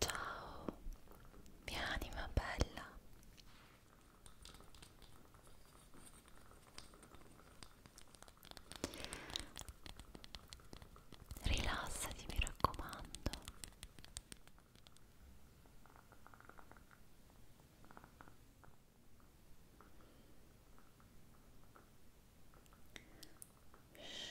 Ciao, mia anima bella. Rilassati, mi raccomando. Shhh.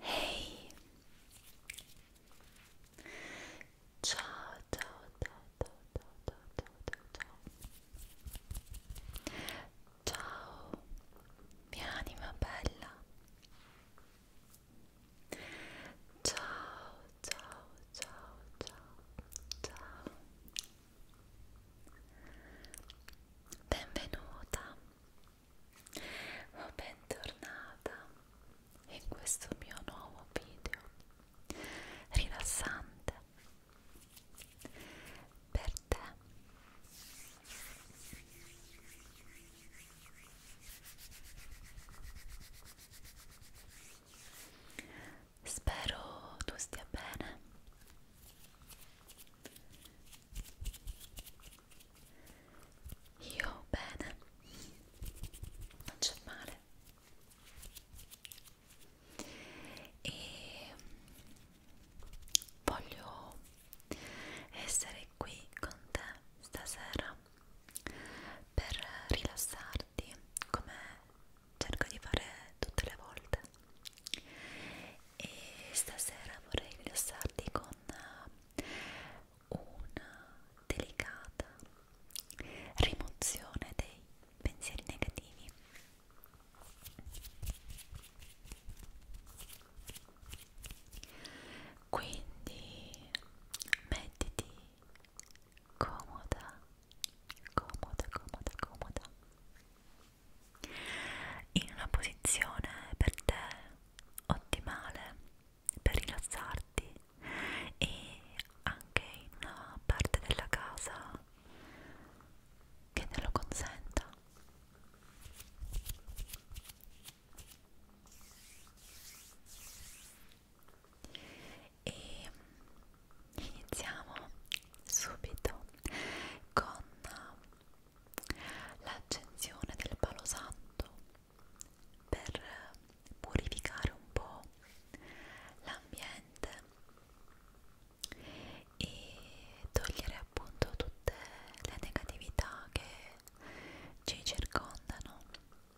Hey! Ciao, ciao, ciao, ciao, ciao, ciao, ciao, ciao. Ciao, mia anima bella. Ciao, ciao, ciao, ciao, ciao. Benvenuta o bentornata in questo mio nuovo video rilassante per te. Spero tu stia bene. Io bene. Non c'è male. E voglio essere qui con te stasera per rilassarti come cerco di fare tutte le volte e stasera vorrei rilassarti con una delicata rimozione dei pensieri negativi quindi mettiti comoda, comoda, comoda, comoda in una posizione per te ottimale per rilassarti e anche in una parte della casa che te lo consenta e iniziamo subito con l'accensione del palo santo per purificare un po' l'ambiente e togliere appunto tutte le negatività che ci circondano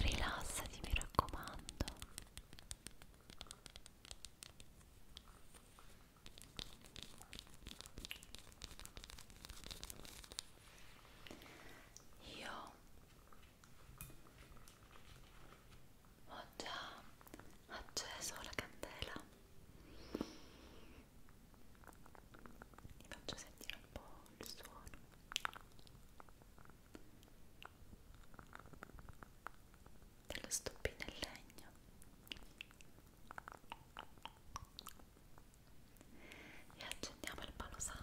Rilassati, mi raccomando. Io ho già acceso la candela vi faccio sentire un po' il suono dello stoppino in legno e accendiamo il palo santo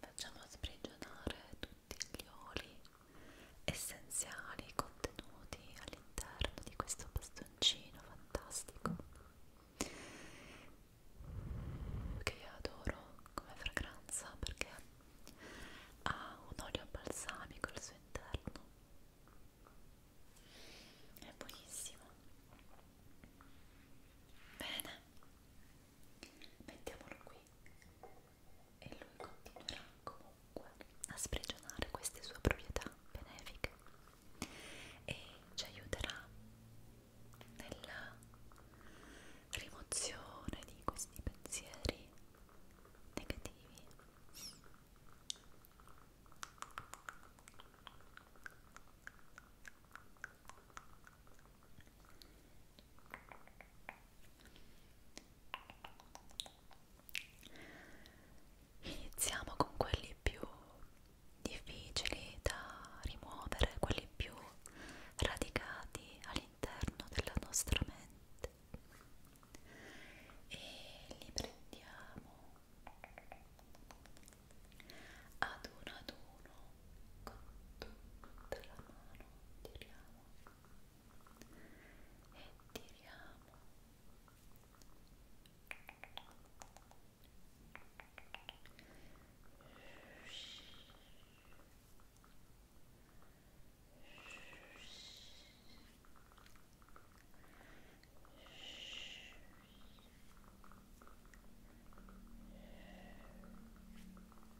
Facciamo sprigionare tutti gli oli essenziali contenuti all'interno di questo bastoncino fantastico che io adoro come fragranza perché ha un olio balsamico al suo interno è buonissimo bene mettiamolo qui lui e lui continuerà comunque a sprigionare queste sue proprietà benefiche e ci aiuterà nella rimozione di questi pensieri negativi Iniziamo con quelli più difficili da rimuovere, quelli più radicati all'interno della nostra mente e li prendiamo ad uno ad uno con tutta la mano tiriamo e tiriamo Shhh. Shhh. Shhh.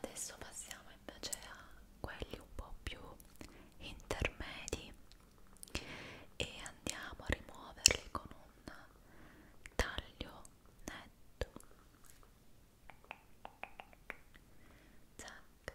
adesso passiamo invece a quelli un po' più intermedi e andiamo a rimuoverli con un taglio netto zac zac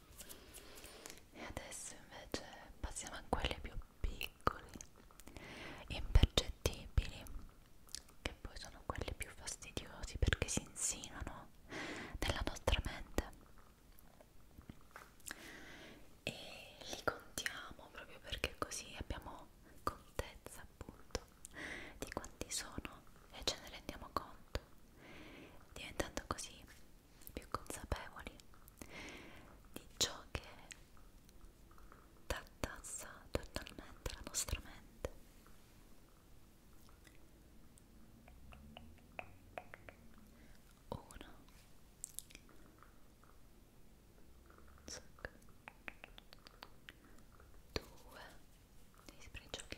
e adesso invece passiamo a quelli più piccoli impercettibili che poi sono quelli più fastidiosi perché si insinuano nella nostra mente e li contiamo proprio perché così abbiamo contezza appunto di quanti sono e ce ne rendiamo conto diventando così più consapevoli di ciò che tartassa totalmente la nostra mente. Uno. Zac. Due. Li sprigioniamo.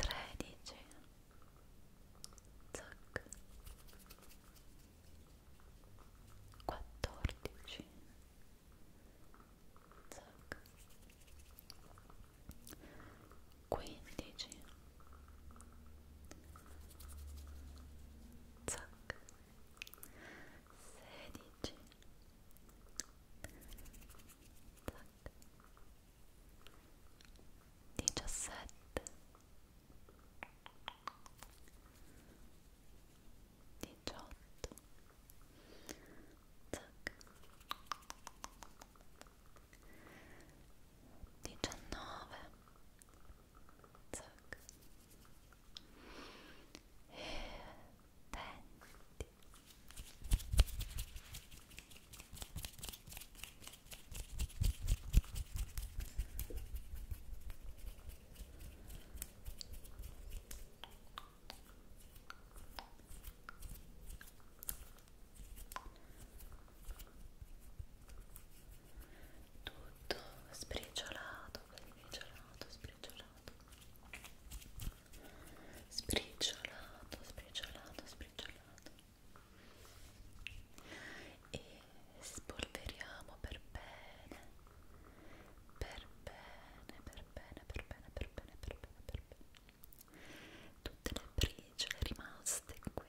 tredici zac quattordici zac quindici zac sedici zac diciassette diciotto zac diciannove zac e contenti tutto spriciolato spriciolato spriciolato sbriciolato, sbriciolato, sbriciolato e spolveriamo per bene per bene, per bene, per bene, per bene, per bene, per bene tutte le briciole rimaste qui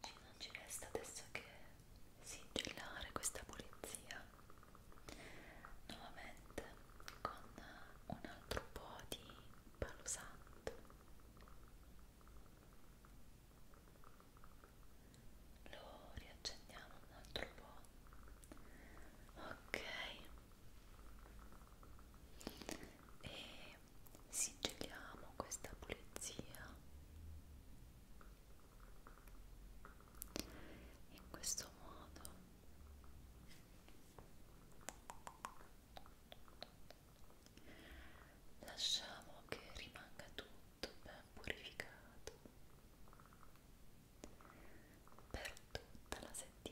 Ci non ci resta adesso che sigillare questa pulizia nuovamente con un altro po' di palo santo lo riaccendiamo un altro po' ok e sigilliamo questa pulizia in questo modo Lasciamo che rimanga tutto ben purificato per tutta la settimana.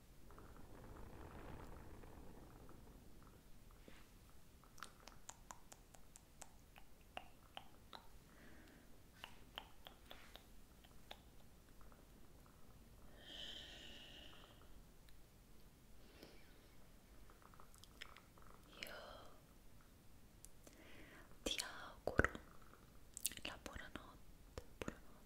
Io ti auguro la buonanotte, buonanotte,